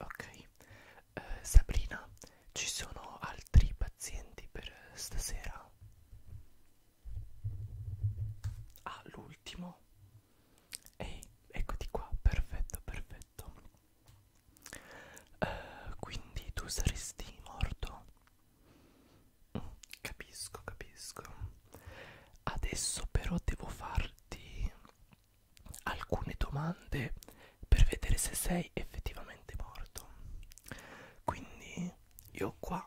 Ok, eh, Sabrina, ci sono altri pazienti per stasera? Ah, l'ultimo? Ehi, eccoti qua, perfetto, perfetto. Uh, quindi tu saresti morto? Capisco, capisco. Adesso però devo farti alcune domande per vedere se sei effettivamente morto. Quindi io ho qua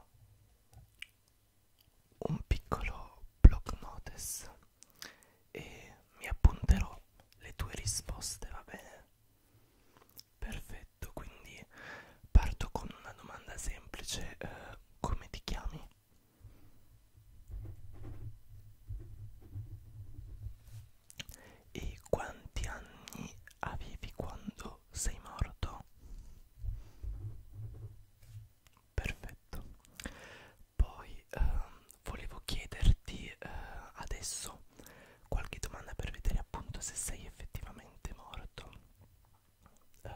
un piccolo block notice e mi appunterò le tue risposte, va bene? Perfetto perfetto, quindi parto con una domanda semplice, eh, come ti chiami? E quanti anni avevi quando sei morto? Perfetto. Poi eh, volevo chiederti eh, adesso qualche domanda per vedere appunto se sei effettivamente morto eh,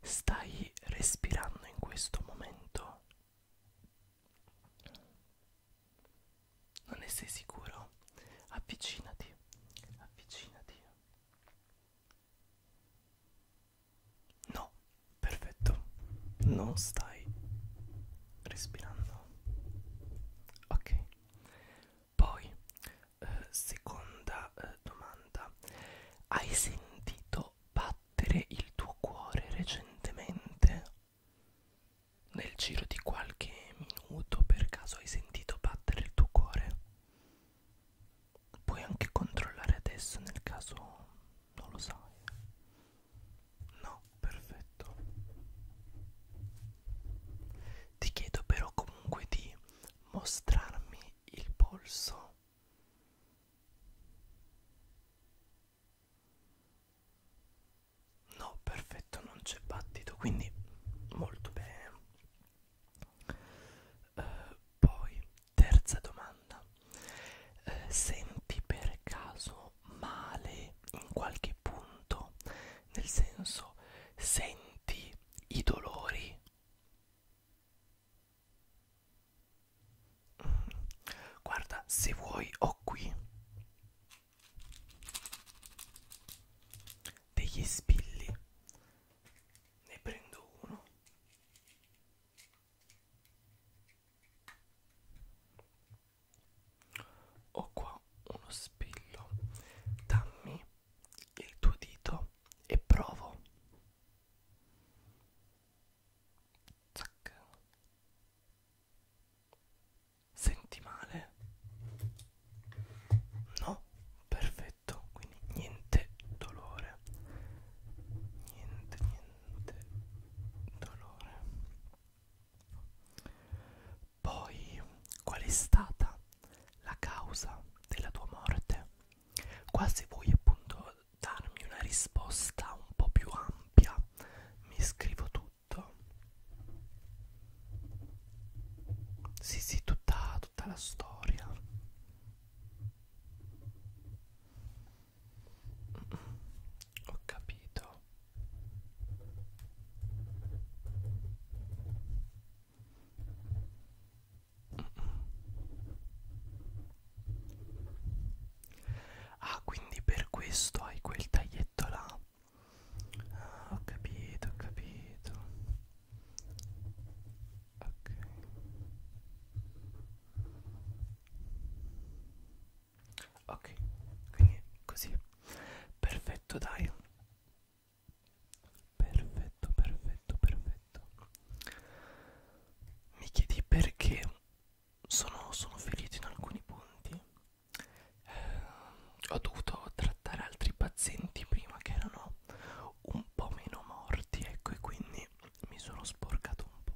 stai respirando in questo momento? Non ne sei sicuro? Avvicinati, avvicinati. No, perfetto, non stai respirando. Ok, poi eh, seconda eh, domanda hai sentito battere il tuo cuore recentemente nel giro di qualche minuto per caso hai sentito battere il tuo cuore puoi anche controllare adesso nel caso non lo sai no perfetto ti chiedo però comunque di mostrarmi il polso. No, perfetto, non c'è battito, quindi molto bene. Uh, poi, terza domanda. Uh, senti per caso male in qualche e punto nel senso senti i dolori mm. guarda se vuoi ho qui degli spilli ne prendo uno ho qua uno spillo dammi il tuo dito e provo Zac. senti male no perfetto quindi niente dolore niente niente dolore poi, qual è stata la causa della tua morte? Qua se vuoi appunto darmi una risposta un po' più ampia, mi scrivo tutto. Sì, sì, tutta, tutta la storia. Mm, mm, ho capito. Ah, quindi per questo hai quel taglietto là. Ah, ho capito, ho capito. Ok. Ok, quindi così. Perfetto, dai. Perfetto, perfetto, perfetto. Mi chiedi perché sono, sono ferito in alcuni punti. Eh, ho dovuto trattare altri pazienti prima che erano un po' meno morti, ecco, e quindi mi sono sporcato un po'.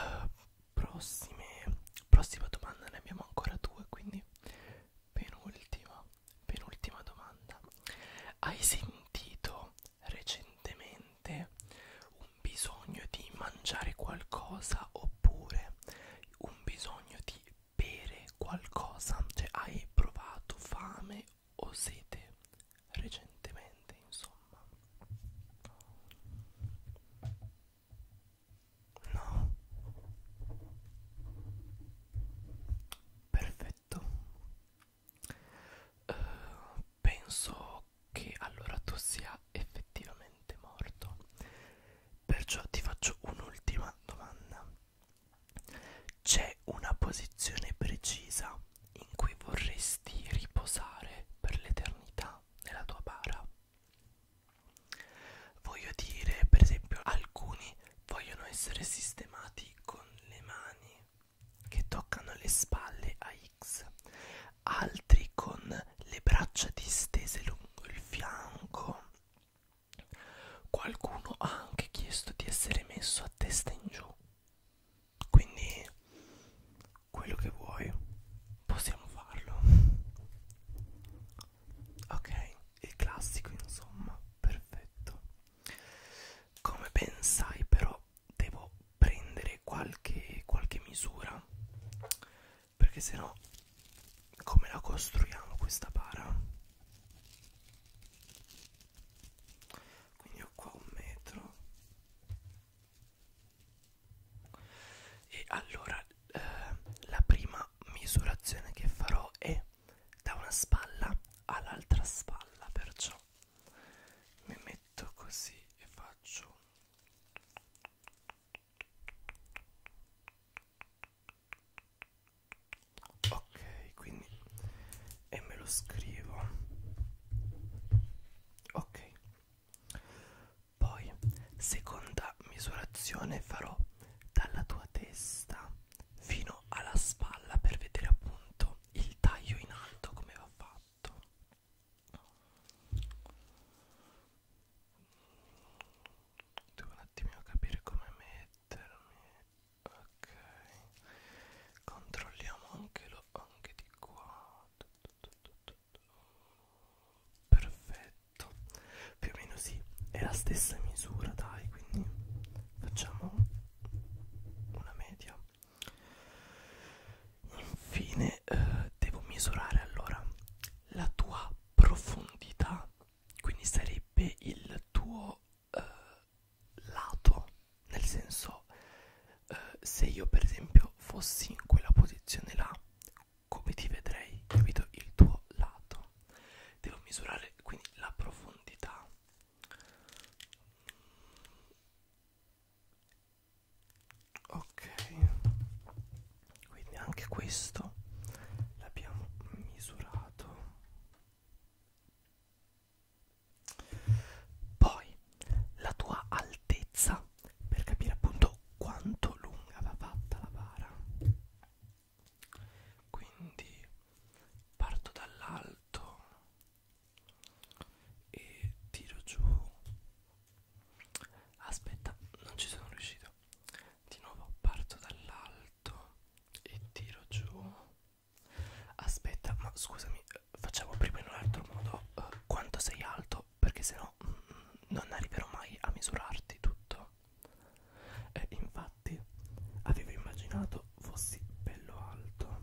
Uh, prossime prossima domanda ne abbiamo ancora due quindi penultima penultima domanda hai sentito recentemente un bisogno di mangiare qualcosa oppure un bisogno di bere qualcosa cioè hai provato fame o sete recentemente insomma No. Perfetto. Uh, penso che allora tu sia effettivamente morto. Perciò ti faccio un'ultima domanda. C'è una posizione precisa in cui vorresti riposare per l'eternità nella tua bara? Voglio dire, per esempio, alcuni vogliono essere sistemati con le mani che toccano le spalle a X, altri con le braccia distese lungo il fianco. Qualcuno ha anche chiesto di essere messo a testa in giù. Quindi quello che vuoi possiamo farlo ok il classico insomma perfetto come ben sai però devo prendere qualche qualche misura perché se no come la costruiamo questa para quindi ho qua un metro e allora eh, la prima misurazione che farò è da una spalla all'altra spalla perciò mi metto così e faccio ok quindi e me lo scrivo ok poi, seconda misurazione farò dalla tua testa fino alla spalla per vedere appunto il taglio in alto come va fatto. Devo un attimino capire come mettermi. Ok. Controlliamo anche, lo, anche di qua. Tu, tu, tu, tu perfetto più o meno sì è la stessa misura dai quindi facciamo una media infine eh, devo misurare allora la tua profondità quindi sarebbe il tuo eh, lato nel senso eh, se io per esempio fossi in quella posizione là come ti vedrei capito il tuo lato devo misurare quindi la profondità ok quindi anche questo l'abbiamo misurato poi la tua altezza per capire appunto quanto lunga va fatta la bara quindi parto dall'alto e tiro giù aspetta non ci sono riuscito di nuovo parto dall'alto e tiro giù aspetta ma scusami facciamo prima in un altro modo eh, quanto sei alto perché sennò mm, non arriverò mai a misurarti tutto e infatti avevo immaginato fossi bello alto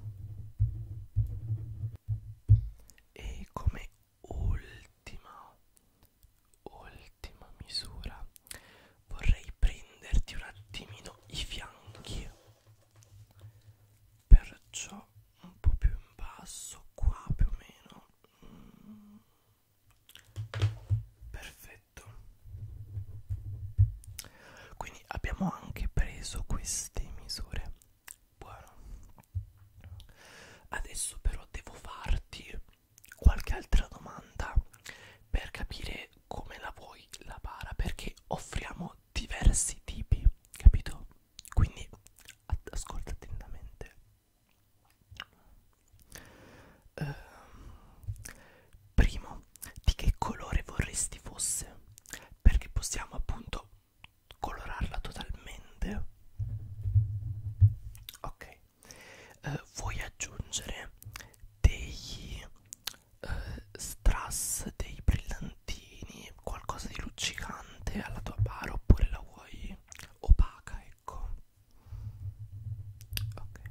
e come ultima ultima misura vorrei prenderti un attimino i fianchi perciò un po' più in basso qua più o meno mm. perfetto quindi abbiamo anche preso queste misure buono adesso però devo farti qualche altra domanda per capire come la vuoi la bara perché offriamo diversi tipi capito quindi ascolta attentamente eh, primo di che colore vorresti fosse perché possiamo appunto colorarla totalmente ok eh, vuoi aggiungere dei eh, strass dei brillanti croccantini, qualcosa di luccicante alla tua bara oppure la vuoi opaca, ecco. Ok.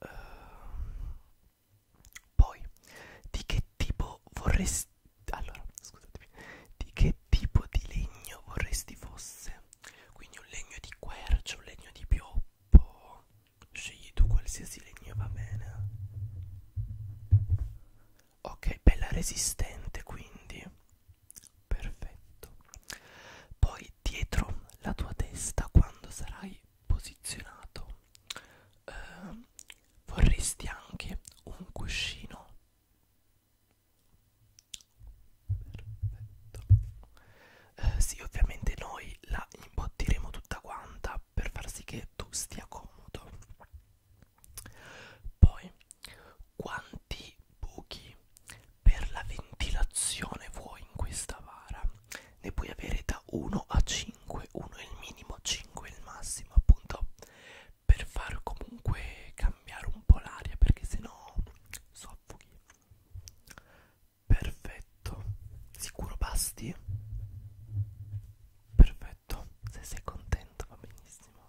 Uh, poi di che tipo vorresti allora, scusatemi. Di che tipo di legno vorresti fosse? Quindi un legno di quercio, un legno di pioppo. Scegli tu qualsiasi legno va bene ok bella resistente quindi perfetto poi dietro la tua testa quando sarai posizionato eh, vorresti anche un cuscino perfetto eh, sì ovviamente noi la imbottiremo tutta quanta fa per far sì che tu stia comodo poi quanti buchi per la ventilazione vuoi in questa vara ne puoi avere da 1 a 5 1 è il minimo 5 è il massimo appunto per far comunque cambiare un po' l'aria perché sennò soffoghi perfetto sicuro basti perfetto perfetto se sei contento va benissimo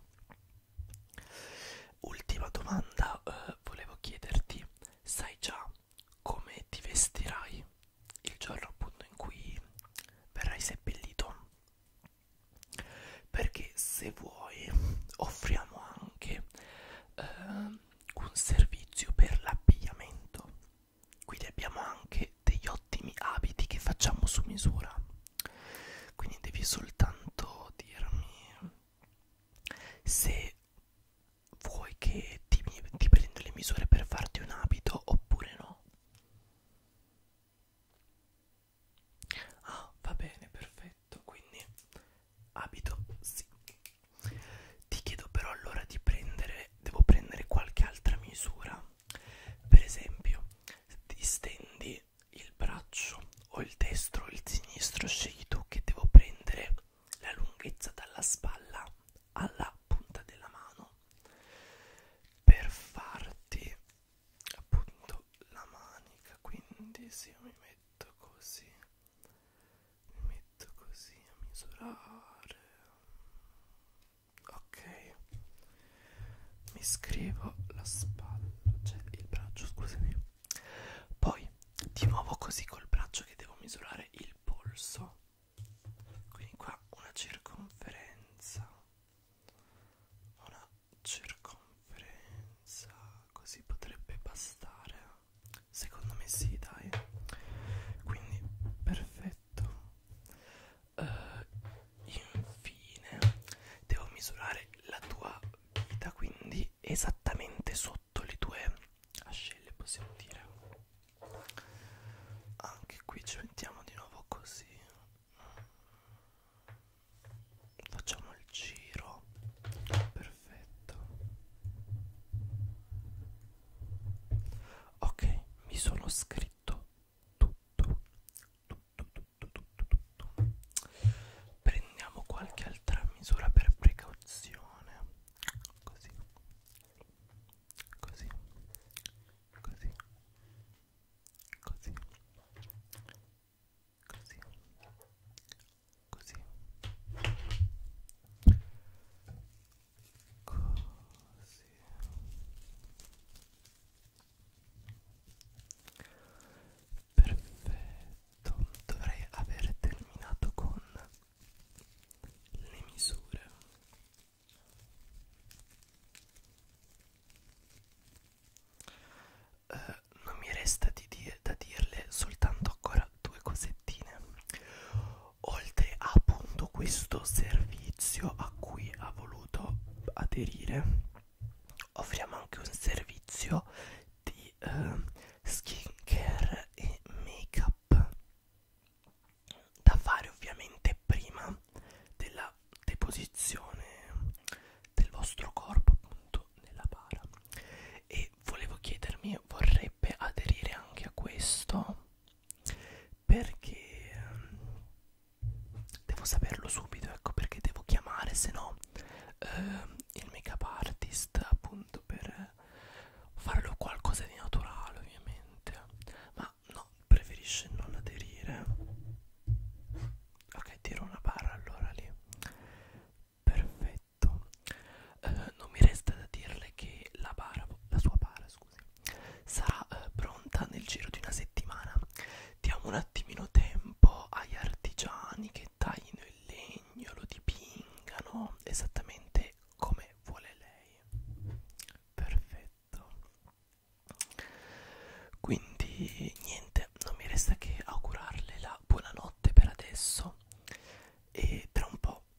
ultima domanda eh, volevo chiederti sai già come ti vestirai il giorno appunto in cui verrai seppellito perché se vuoi offriamo anche eh, un servizio per l'abbigliamento quindi abbiamo anche degli ottimi abiti che facciamo su misura quindi devi soltanto dirmi se vuoi che ti, ti prendo le misure per farti un abito oppure no ah va bene perfetto quindi abito sì ti chiedo però allora di prendere devo prendere qualche altra misura per esempio distendi il braccio o il destro o il sinistro scegli tu che devo prendere la lunghezza dalla spalla alla punta della mano per farti appunto la manica quindi se io mi metto così mi metto così a misurare ok mi scrivo la spalla cioè il braccio scusami poi di nuovo così col braccio che devo misurare il polso quindi qua una circonferenza una circonferenza così potrebbe bastare secondo me sì dai quindi perfetto uh, infine devo misurare la tua vita quindi esattamente sotto le tue ascelle possiamo dire anche qui ci mettiamo di nuovo così facciamo il giro perfetto ok mi sono scritto tutto tutto tutto tutto tutto prendiamo qualche altra misura per precauzione così così così così così così così perfetto dovrei aver terminato con le misure eh, non mi resta di dire, da dirle soltanto ancora due cosettine oltre a appunto questo servizio a cui ha voluto aderire offriamo anche un servizio di eh, skin care e make up da fare ovviamente prima della deposizione del vostro corpo appunto nella bara e volevo chiedermi vorrebbe aderire anche a questo perché ehm, devo saperlo subito ecco perché devo chiamare se no eh, il make up artist appunto per farlo qualcosa di naturale ovviamente ma no preferisce non aderire ok tiro una barra allora lì perfetto eh, non mi resta da dirle che la bara, la sua bara, scusi, sarà eh, pronta nel giro di una settimana. Diamo un attimino tempo agli artigiani che taglino il legno, lo dipingano esattamente come vuole lei. Perfetto. Quindi niente, non mi resta che augurarle la buonanotte per adesso e tra un po'